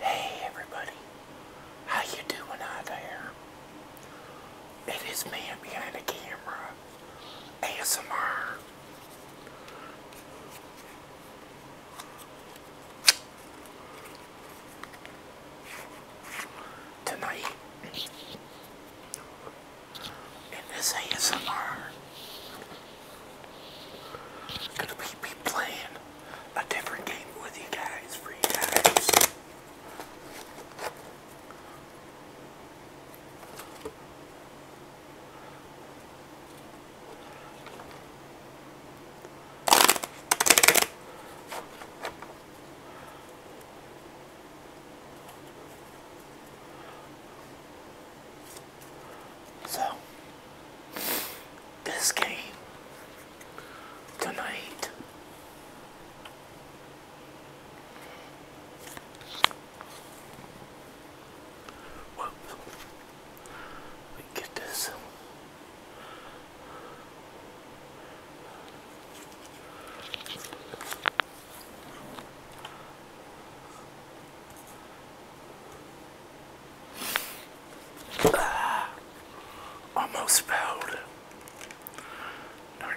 Hey everybody, how you doing out there? It is man behind the camera, ASMR. Tonight, in this ASMR, Gonna be, be playing a different game with you guys for you guys. So, this game tonight Whoop. we get this almost failed. Darn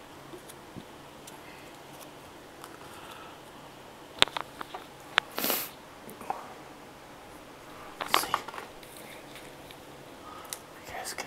Let's see, you guys can.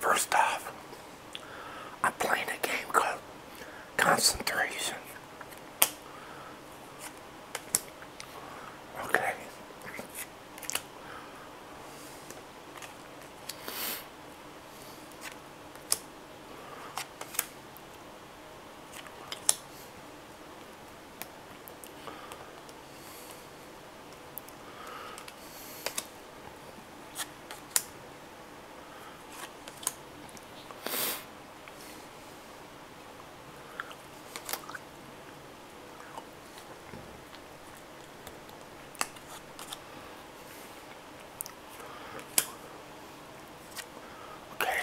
First off, I'm playing a game called Concentration. Okay. Okay.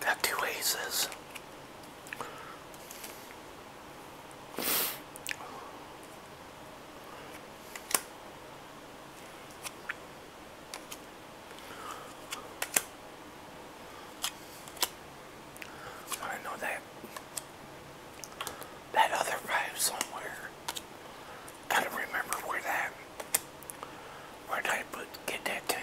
Got two aces. I know that that other five somewhere. Gotta remember where that where did I put get that ten.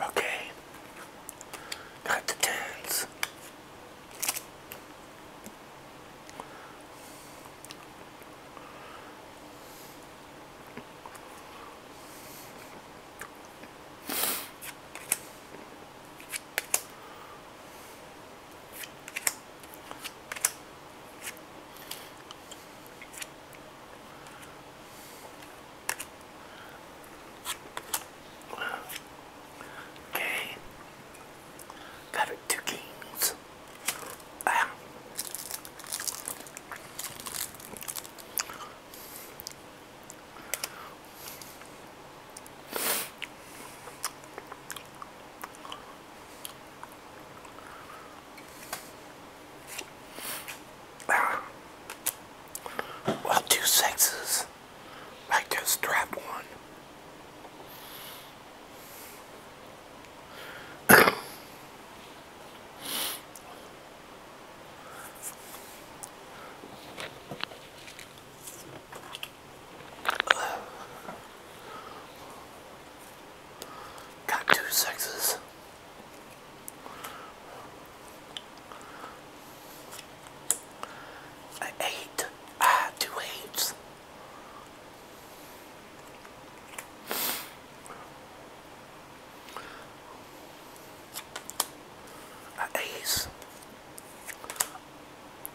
Okay, got the tens. Okay, got it kings this. Um, well, I just dropped one. Got two sixes. An eight. Ah, two eights. An ace.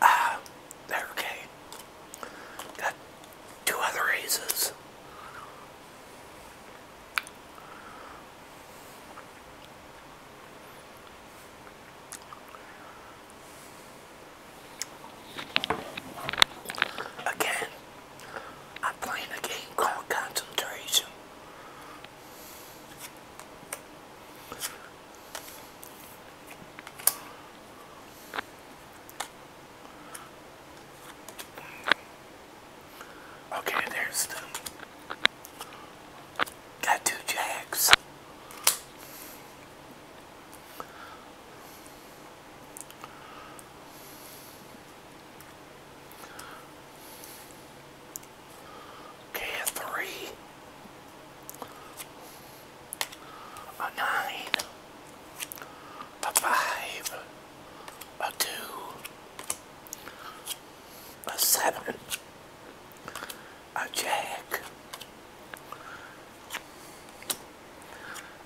Ah, there, okay. Got two other aces. Again, I'm a game called Concentration. Okay, there's the got two jacks. K3 a nine, a five, a two, a seven, a jack,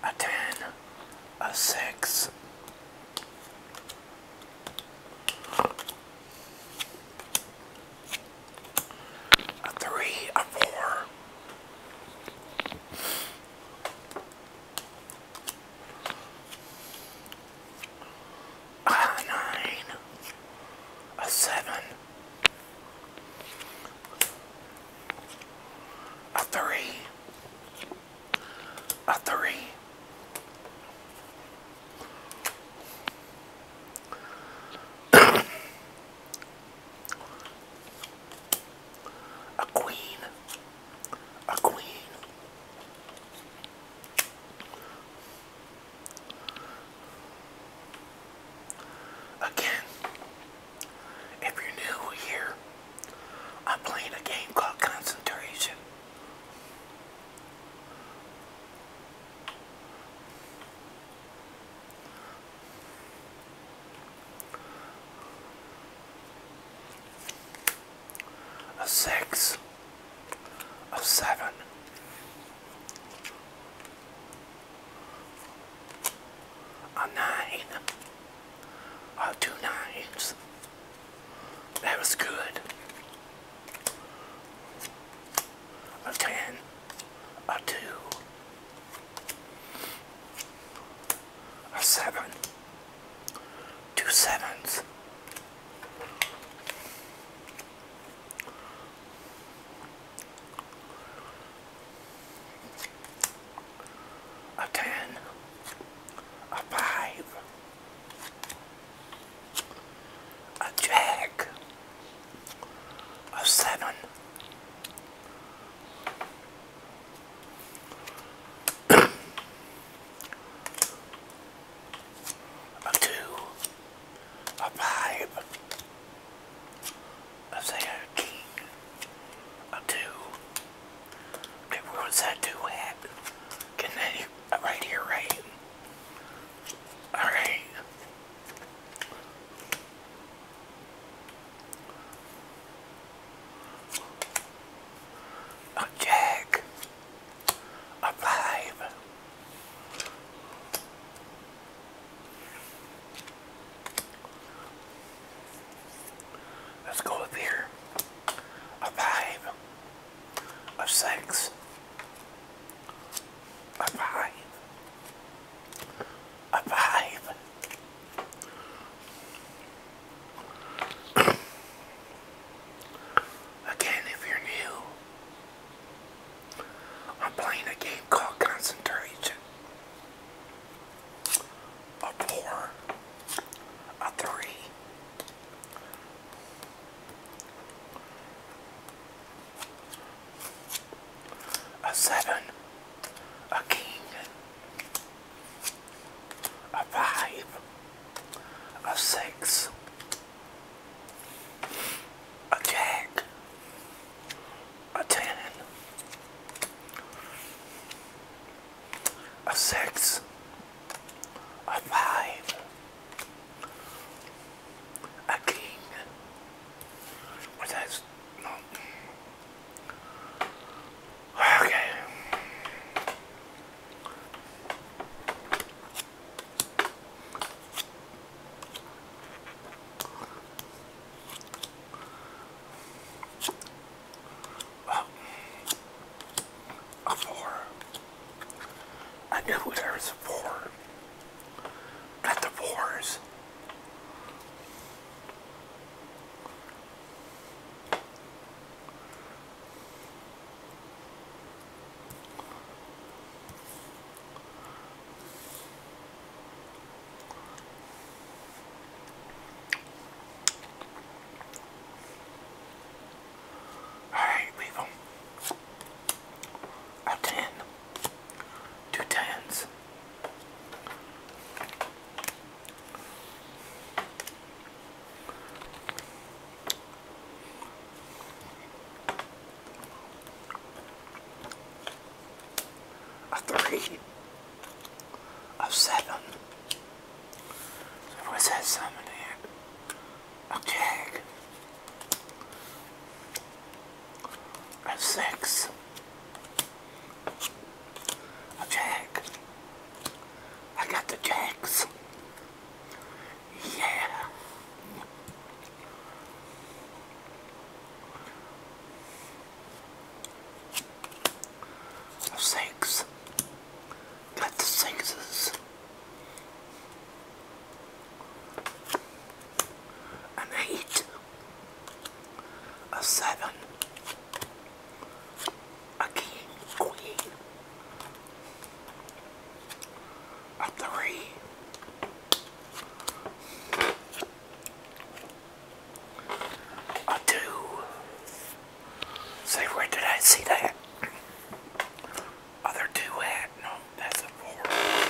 a 10, a 6. A three, a four, a nine, a seven, a three, a three, a queen, a queen, again. If you're new here, I'm playing a game called Concentration. A six, a seven, a nine, uh, two nines. That was good. A ten, a two, a seven, two sevens a ten, a five, a jack, a seven, a two, a five. I say a, a two. Okay, where was that two at? Can they right here, right? Alright. A jack. A five. Let's go with here. A five. A six. A five. A five. Again, if you're new, I'm playing a game called Concentration a four, a three. A seven, a king, a five, a six, a jack, a 10, a 6, a 5, a king, what is no. Okay. Well, a four. I knew there was for. Not the fours. Alright, leave them. A ten. Two tens a three, a seven. So what's that summon in? A jag, a six, a jag. I got the jacks. Yeah. The Got the sinkses. An eight. A seven. A king, queen. A three. A two. Say, where did I see that? Other two at? No, that's a four.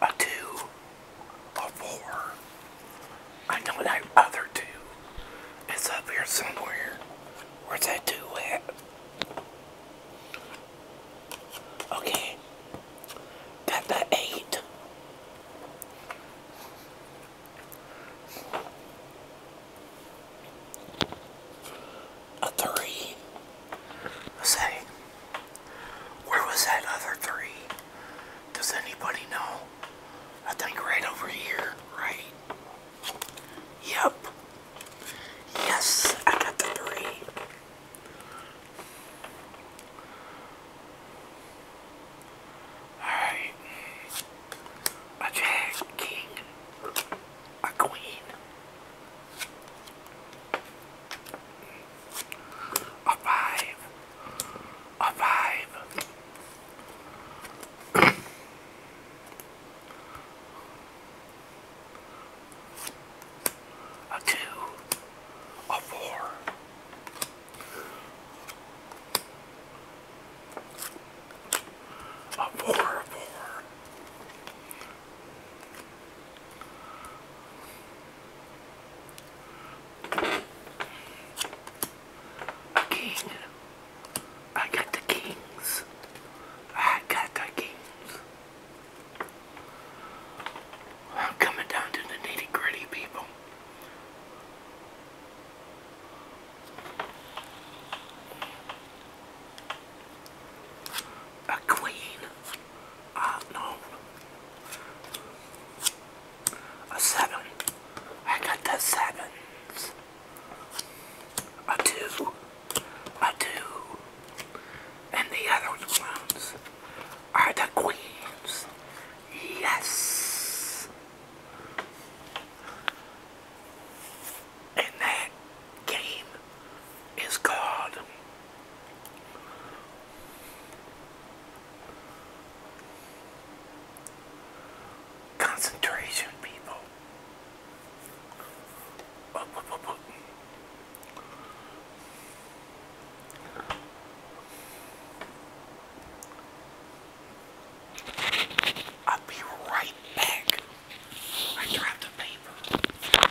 a two, a four. I know that other two is up here somewhere. Where's that two at? Okay. Got the eight a three. Say, where was that other three? Does anybody know? I think right over here, right? Yep. Yes, I got the three. Alright. A jack, king, a queen. A five. A five. a two. A four. A four, a four. Kings, kings. I I I'm got got the the coming down to nitty a queen uh, no, a seven. I got the sevens. A two, a two, and the other ones are the queens. Yes and that game is called Concentration People. I'll be right back. I dropped the paper.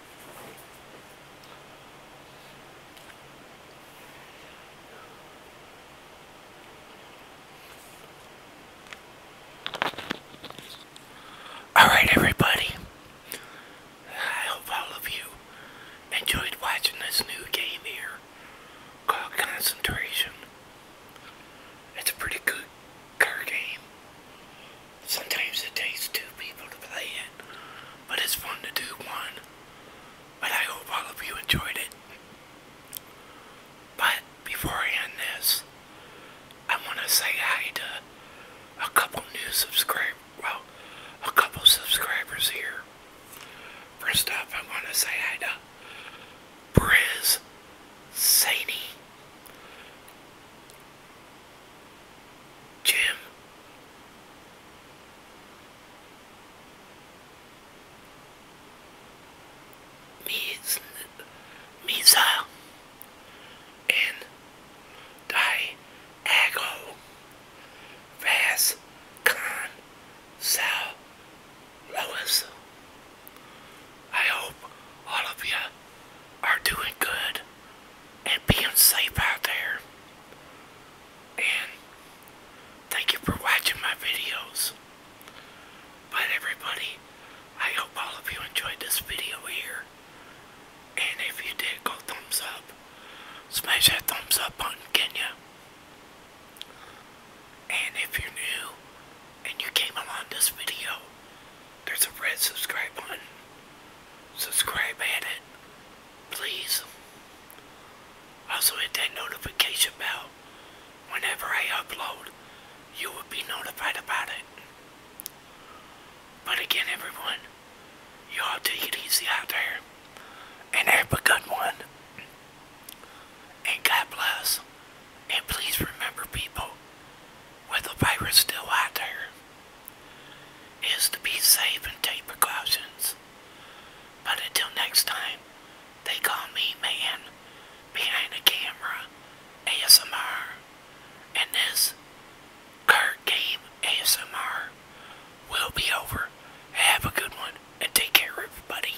All right, everybody. I hope all of you enjoyed watching this new game here called Concentration. It's a pretty good card game. Sometimes it takes two people to play it, but it's fun to do one. But I hope all of you enjoyed it. But before I end this, I want to say hi to a couple new subscribers. Well, a couple subscribers here. First up, I want to say hi to Briz Saney. Jim. Miz, Miza and Diago Vaz Sal Lois. I hope all of you are doing good and being safe out there. And thank you for watching my videos. But everybody, I hope all of you enjoyed this video here. And if you did, go thumbs up. Smash that thumbs up button, can And if you're new and you came along this video, there's a red subscribe button. Subscribe at it please. Also hit that notification bell. Whenever I upload, you will be notified about it. But again, everyone, y'all take it easy out there. And have a good one. And God bless. And please remember, people, with the virus still out there is to be safe and take precautions. But until next time, they call me man behind the camera ASMR. And this card game ASMR will be over. Have a good one and take care everybody.